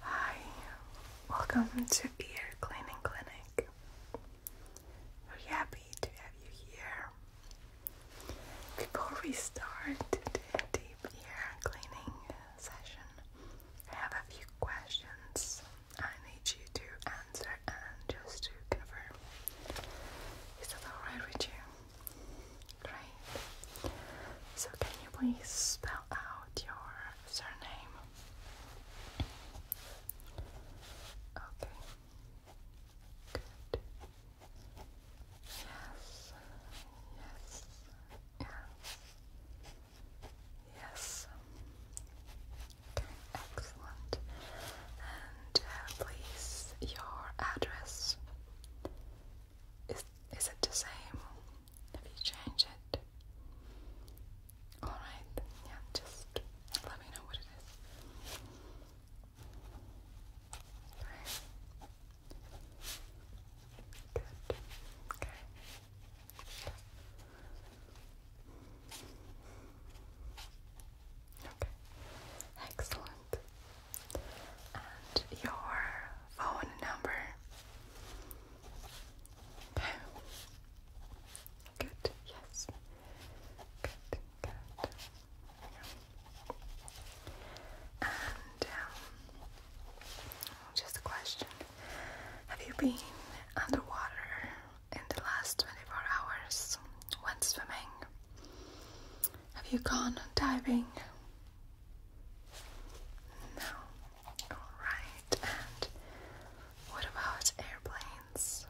Hi, welcome to Ear Cleaning Clinic. we happy to have you here. Before we start the deep ear cleaning session, I have a few questions I need you to answer and just to confirm. Is that alright with you? Great. So, can you please spell out your surname? Okay. Good. Yes. Yes. Yes. Yes. Okay, excellent. And uh, please, your address. Is, is it the same if you change it? Alright, yeah, just let me know what it is. Okay. Good. Okay. Okay. Excellent and your phone number. Good, yes. Good, good. And um, just a question Have you been underwater in the last 24 hours when swimming? Have you gone diving? No. Alright, and what about airplanes?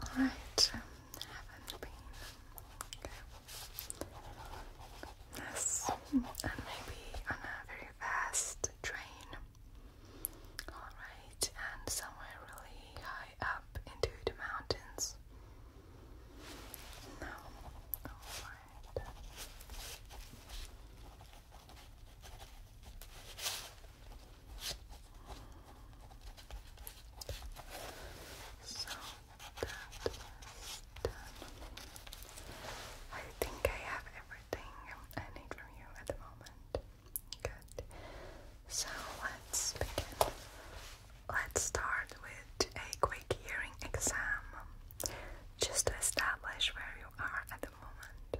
Alright, um, haven't been. Yes, and maybe on a very fast train. Alright, and somewhere really high up into the mountains. No, alright. So that is done. I think I have everything I need from you at the moment. Good. So let's begin Let's start with a quick hearing exam just to establish where you are at the moment.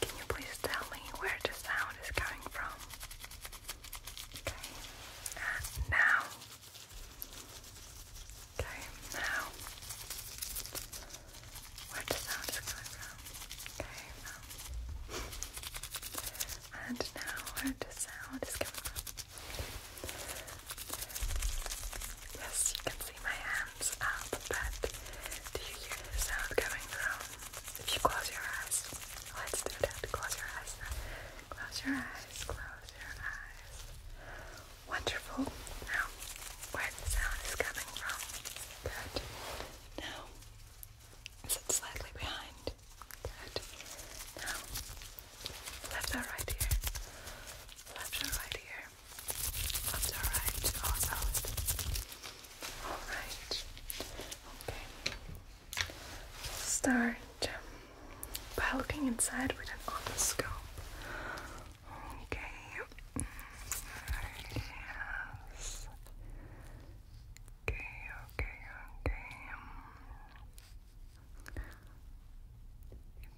Can you please tell me where the sound is coming from? Okay. now. Okay, now. Where the sound is coming from? Okay, now. And now the sound is coming up. Yes, you can see my hands up, but do you hear the sound coming from? If you close your eyes, let's do that. Close your eyes Close your eyes, close your eyes. Wonderful. Now, where the sound is coming from. Good. Now, is it slightly behind? Good. Now, left or right here? Left or right ear? Left or right? Oh, All solid. Alright. Okay. start um, by looking inside with an otoscope. Okay. Mm, yes. Okay, okay, okay.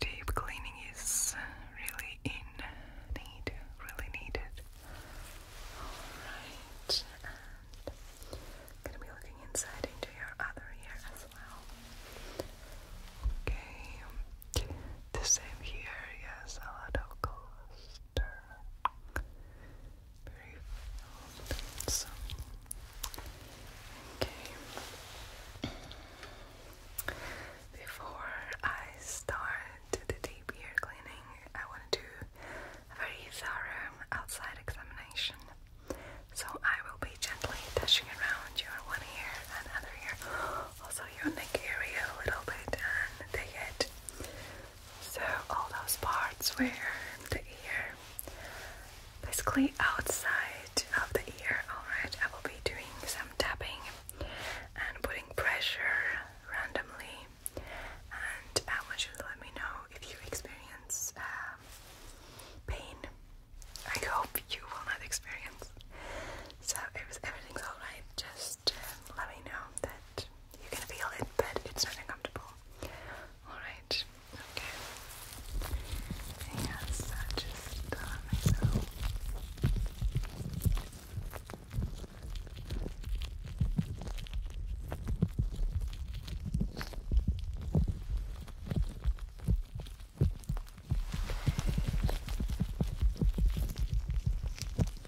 Deep cleaning is really in need, really needed. Alright, gonna be looking inside into your other ear as well. Okay, the same here, yes, a lot of calls. Okay. Before I start the deep ear cleaning, I want to do a very thorough outside examination. So I will be gently touching around your one ear and other ear, also your neck area a little bit, and the head. So, all those parts where the ear, basically outside of the ear, alright, I will be doing some tapping and putting pressure randomly. And I want you to let me know if you experience um, pain. I hope you will not experience. So, if everything's alright, just um, let me know that you can feel it, but it's not uncomfortable. Alright, okay. Yes, I just done uh,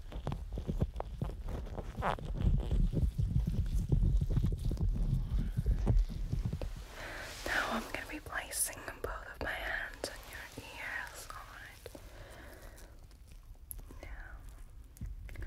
Now I'm going to be placing both of my hands on your ears, alright? Now, you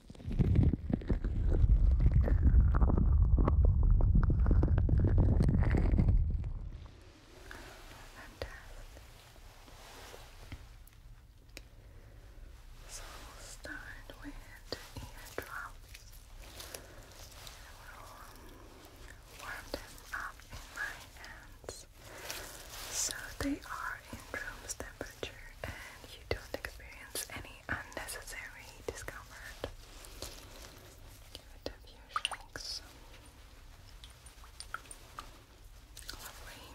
So we'll start with eardrops. I will warm them up in my hands so they are in room temperature and you don't experience any unnecessary discomfort downward. Give it a few shakes. Lovely.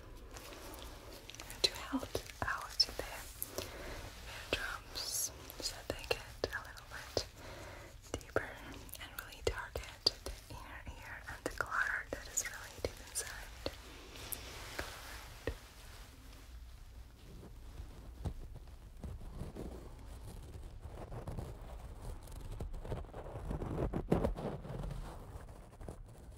to help out their ear drums, so they get a little bit deeper and really target the inner ear and the clutter that is really inside.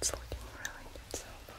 It's looking really good so far.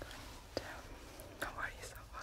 And, um, how are you so far?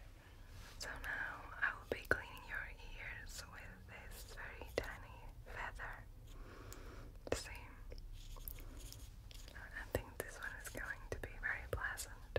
So now I will be cleaning your ears with this very tiny feather. See? I think this one is going to be very pleasant.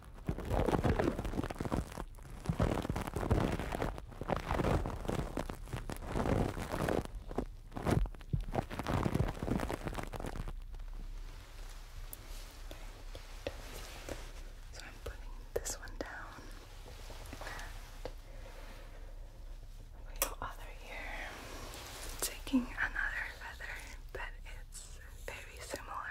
So I'm putting this one down the other ear, taking another feather, but it's very similar.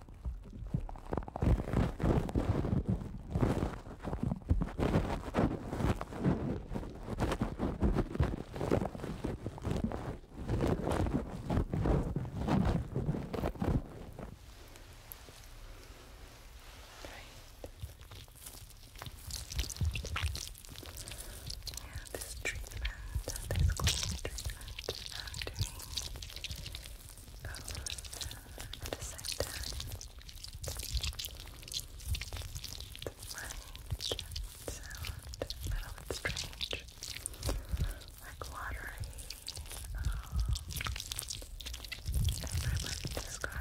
Yeah, this treatment, this cleaning treatment I'm doing at the same time. The mic sound a little strange, like watery. Um, describes it as quite.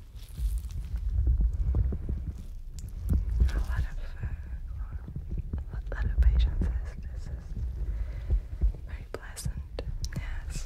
A lot of, a lot of patience is, this is very pleasant, yes.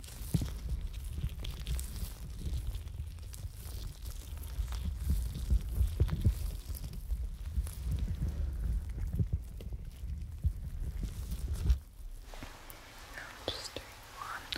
just doing one and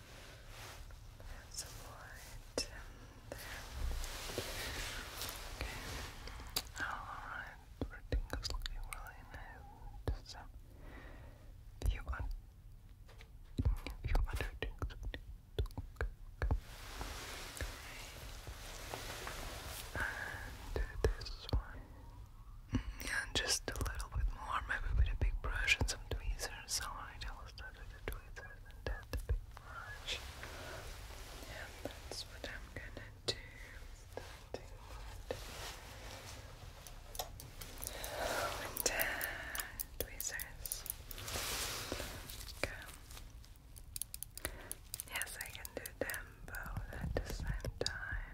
That's a light there. Okay. Alright, everything is looking really nice. Just a few, un few other things to And uh, this one. Mm, yeah, just a little bit more, maybe with a big brush and some tweezers, so I just started tweezers and dab the brush. And that's what I'm gonna do. tweezers. Yes, I can do them both at the same time.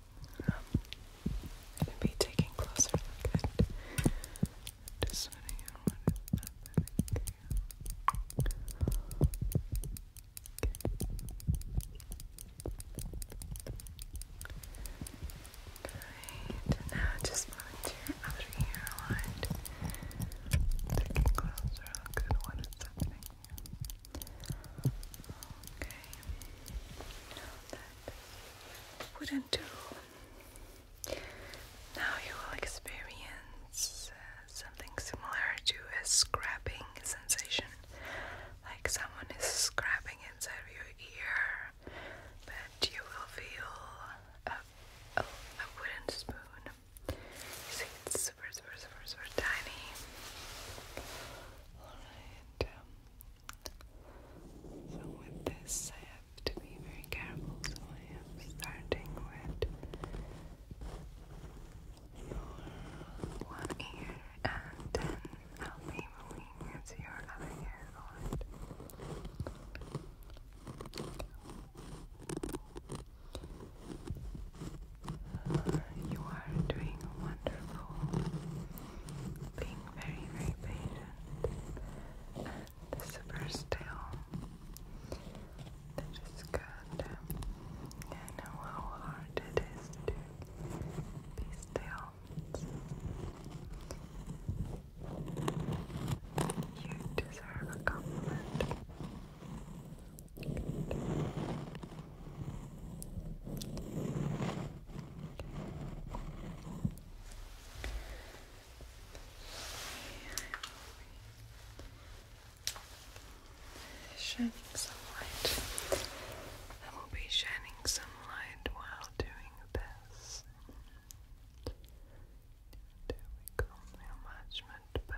I'm going to be taking a closer look at deciding on what is happening here. now just moving your outer ear line. Taking closer look at what is happening Okay, now that wouldn't do. Now you will experience uh, something similar to a scrapping sensation, like someone is scrapping inside your ear, but you will feel a, wooden spoon. see, it's super, super, super, super tiny. Alright, um, so with this I have to be very careful, so I am starting with one ear and then I'll be moving into your other ear, uh, you are doing wonderful being very, very patient and super still. That is good. I know how hard it is to be still. You deserve a compliment. Shining some light. I will be shining some light while doing this. There we go. Now much, much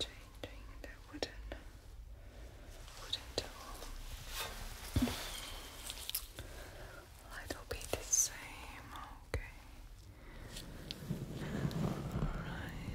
Changing the wooden wooden tool. Little bit the same, okay. Alright.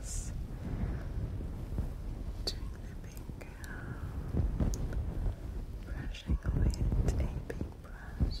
Yes. Doing the big uh, brushing with a big brush.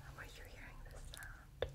How you hearing this sound?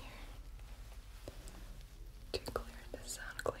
Here. To clear this out clear.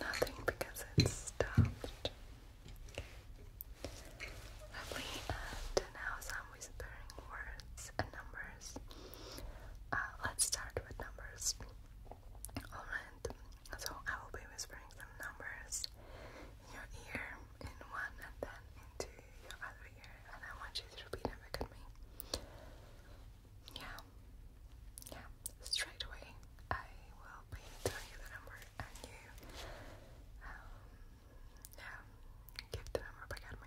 Nothing. Nothing because it's stopped. Lovely, and now some whispering words and numbers. Uh, let's start with numbers. so I will be whispering some numbers in your ear, in one, and then into your other ear, and I want you to repeat them back at me. Yeah, yeah, straight away I will be telling you the number, and you, um, yeah, give the number back at me.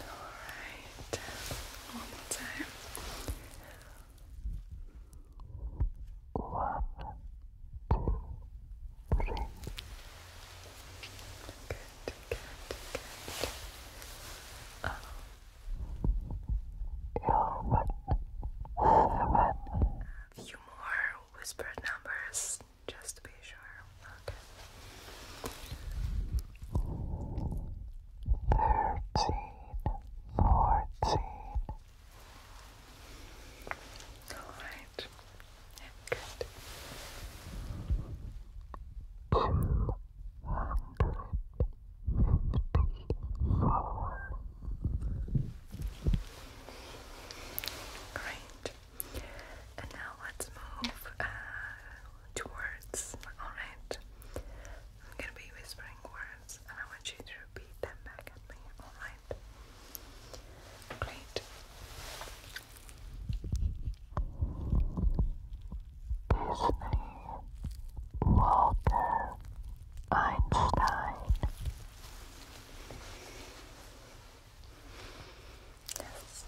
Alright, one more time. Good, good, good. A few more whispered numbers just to be sure. Okay. Thirteen, fourteen. All right. good. Two hundred fifty-four. Great. And now let's move uh, towards, alright? I'm gonna be whispering words and I want you to repeat them back at me, alright? Great. Disney Walter Einstein. Yes.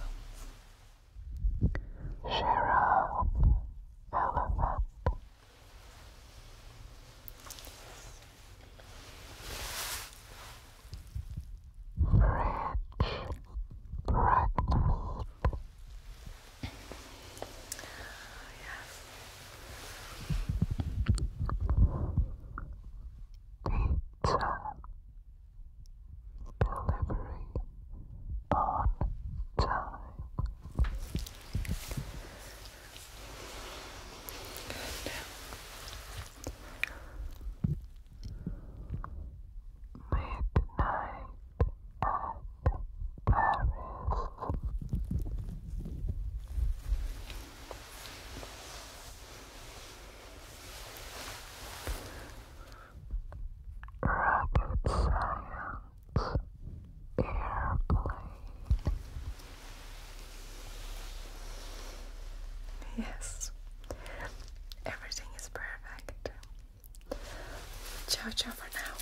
Giraffe, elephant. Rich, pregnant. Pizza, delivery on time. Midnight at Paris. Rocket Science Airplane. Yes, everything is perfect. Ciao, ciao for now.